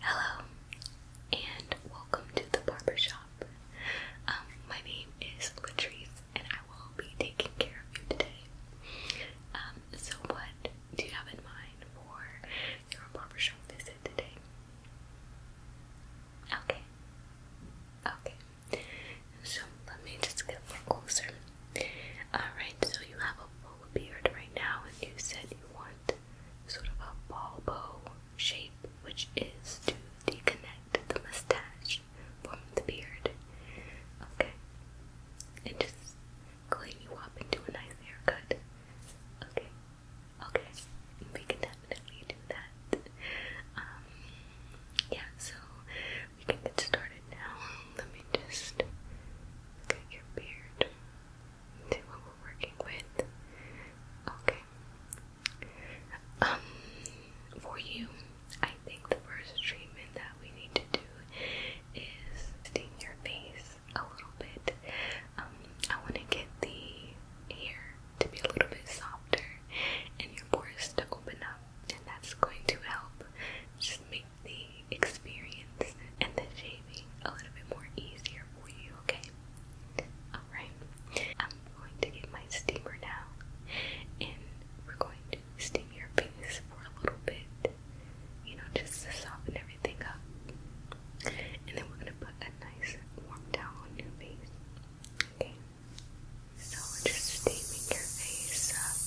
Hello, and welcome to the barber shop. Um, my name is Latrice, and I will be taking care of you today. Um, so, what do you have in mind for your barbershop visit today? Okay. Okay. So, let me just get a little closer. Alright, so you have a full beard right now, and you said you want sort of a ball bow shape, which is to disconnect the mustache from the beard. Okay, and just clean you up into a nice haircut. Okay, okay, we can definitely do that. Um, yeah, so we can get started now. Let me just look your beard working with. Okay. Um, for you, I think the first treatment that we need to do is steam your face a little bit. Um, I want to get the hair to be a little bit softer and your pores to open up, and that's going to help just make the experience and the shaving a little bit more easier for you, okay? Alright, I'm going to get my steamer now and we're going to steam your face for a little bit, you know, just to soften everything up. And then we're going to put a nice warm towel on your face, okay? So just steaming your face up.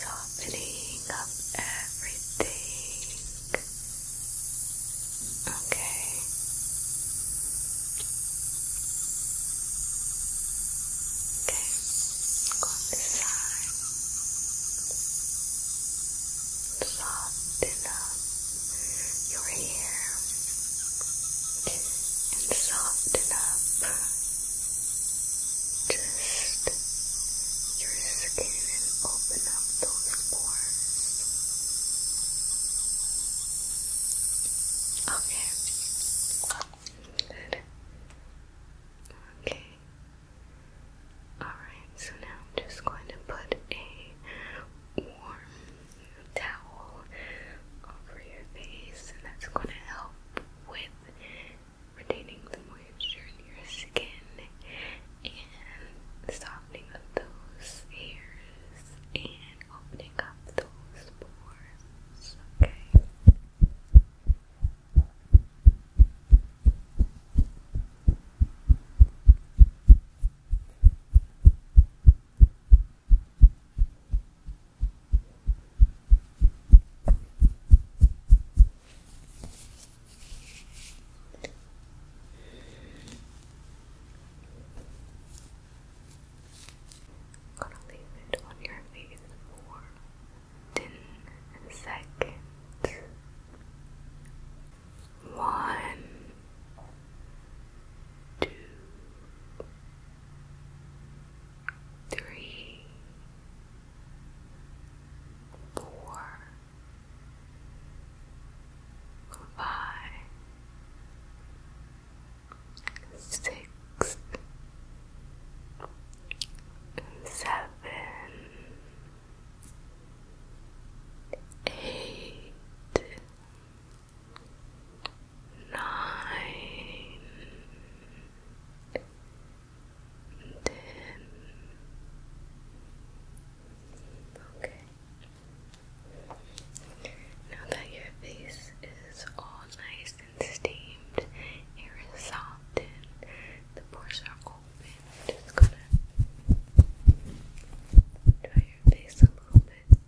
Softening up everything. Okay. Okay. on this side. Soften up your hair and soften up just your skin and open up those pores. Okay. Good. Okay. Alright, so now I'm just going to put a warm towel over your face, and that's going to help with retaining the moisture in your skin and softening up those hairs and opening up those pores. Okay. I'm gonna leave it on your face for 10 seconds. One, two, three, four, five, six, seven, eight nine, ten. Okay. Now that your face is all nice and steamed, air soft and the pores are open, just gonna dry your face a little bit.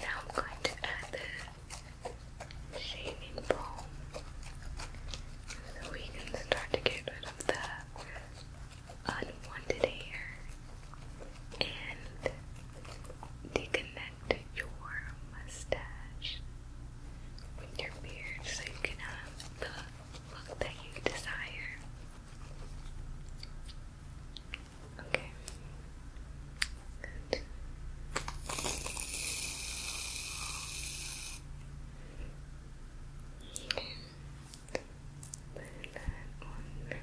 Now I'm going to add the shaving balm so we can start to get rid of the unwanted hair and deconnect your mustache with your beard so you can have the look that you desire. Okay. Good. Okay. on your beard.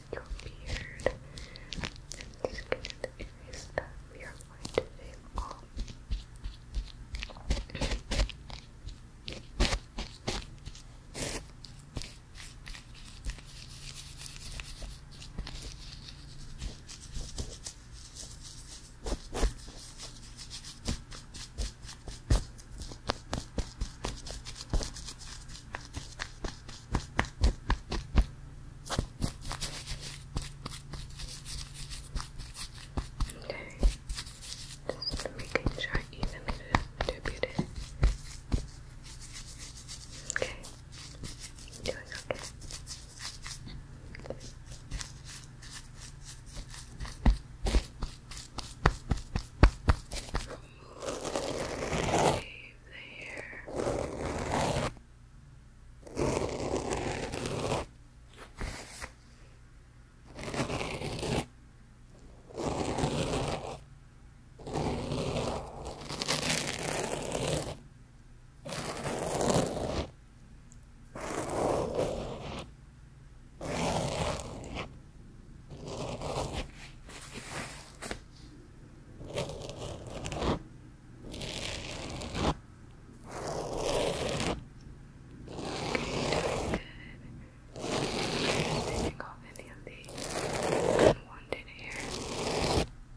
your beard. I'm going to erase that. We are going to shave off. Um, Okay, just making sure I evenly Okay, doing Okay, leave the hair Taking off any of the unwanted hair. Okay.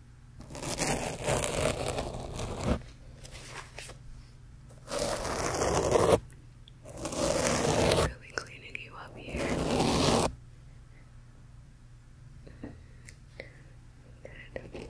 Really cleaning you up here. Good. Very good. Good.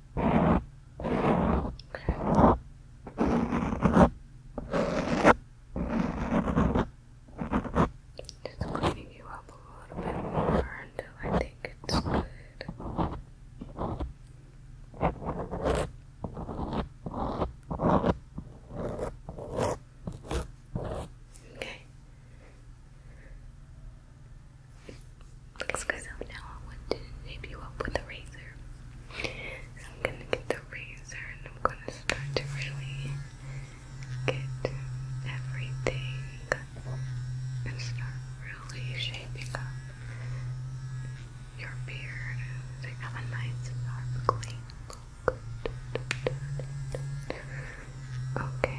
Just cleaning you up a little bit more until I think it's good. Okay. Looks good. now I want to shape you up with a razor. I'm gonna get the razor and I'm gonna start to really get everything and start really shaping up your beard so have a nice sharp clean look. Okay.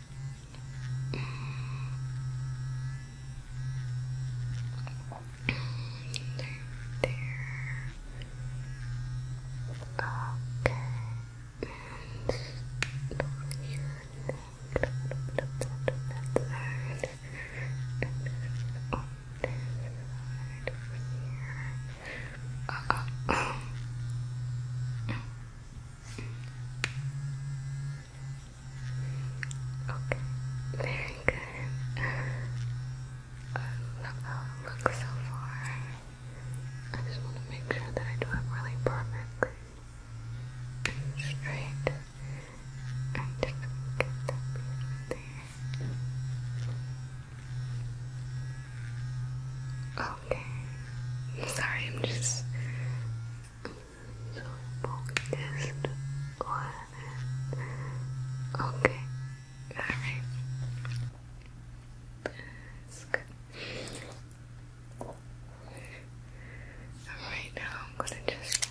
Right there. Okay. And your neck. That side. And on this side over here. Uh, uh, uh. Okay, very good. I love it looks so far. I just want to make sure that I do it really perfectly straight. And just get that okay. I'm sorry, I'm just so focused Okay, alright. That's good. Alright, now I'm gonna just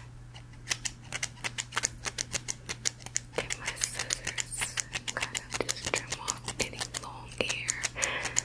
get my scissors and kind of just trim off any long hair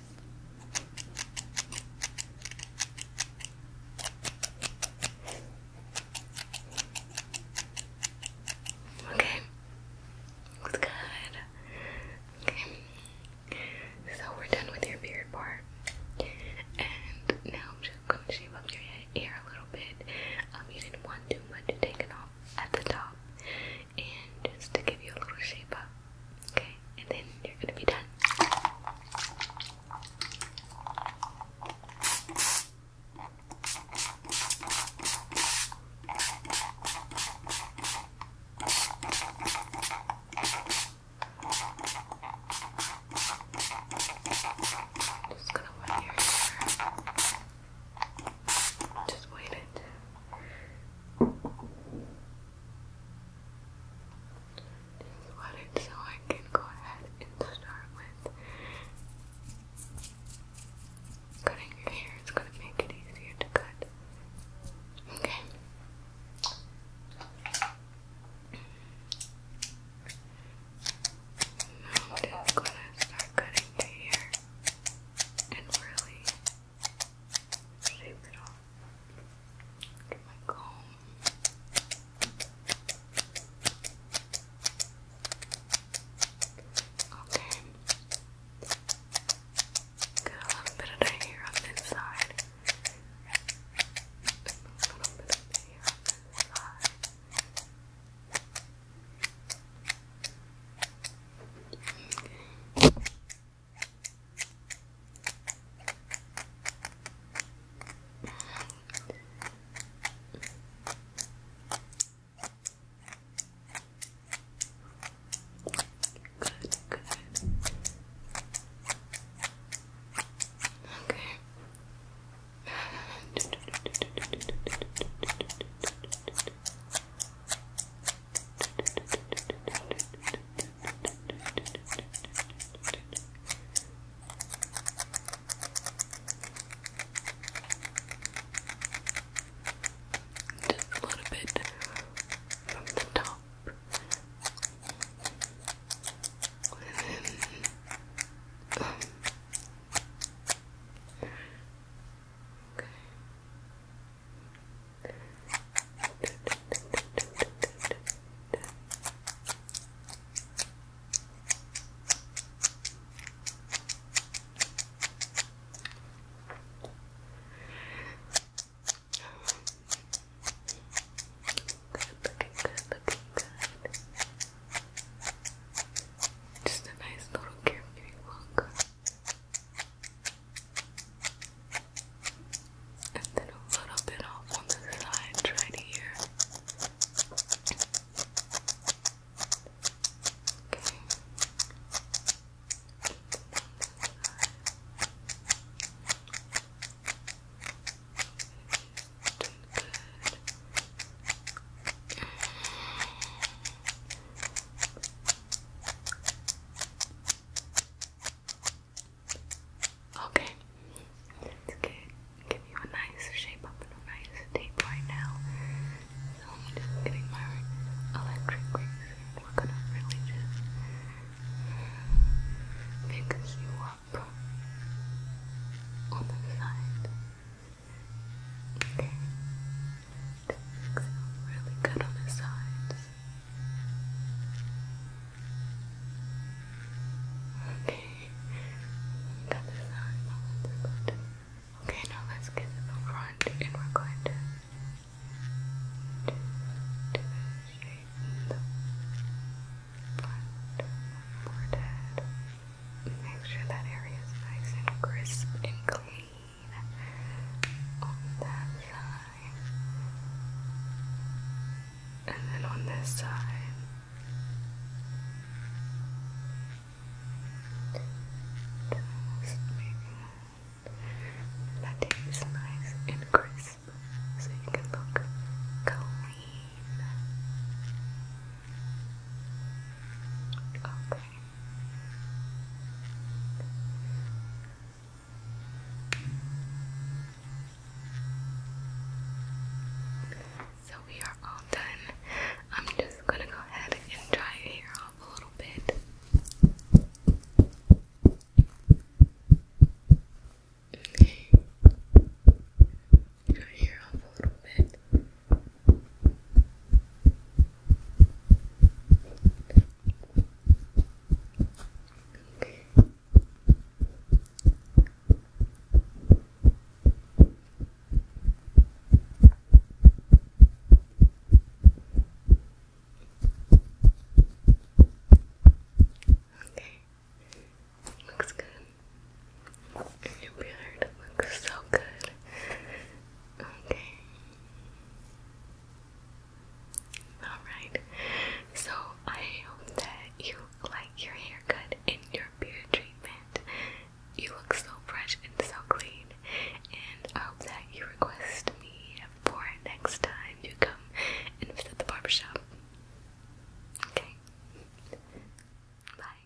Okay, that's good. Okay, so we're done with your beard part, and now I'm just gonna shave up your hair a little bit. Um, you didn't too much taken off at the top, and just to give you a little shape up. Okay, and then you're gonna be done. Just gonna run your hair. Just wait it. Just wet it so I can go ahead and start with cutting your hair. It's going to make it easier to cut. Okay. I'm just going to start cutting your hair and really Shave it off. Get my comb. Okay. Get a little bit of the hair on this A little bit of hair on Good, good. Okay. Just a little bit from the top. And then, um, Okay. Looking good, looking good. Just a nice little carefree look and then a little bit off on the side right here. Okay. Doing good. Okay, let's get, give you a nice shape up and a nice tape right now. So I'm just getting my electric razor. We're gonna really just fix you up on the side. Okay. It feel really good on the sides. Okay, got the sides. Okay, now let's get to the front, and we're going to do the front of my forehead. Make sure that area is nice and crisp and clean on that side, and then on this side. that tape is nice and crisp, so you can look clean. Okay. So we are all done. I'm just gonna go ahead and dry your hair off a little bit. Dry hair off a little bit. Okay. Looks good. Your beard looks so good. Okay. Alright. So I hope that you like your haircut and your beard treatment. You look so fresh and so clean. And I hope that you request me for next time you come and visit the barbershop. Okay. Bye.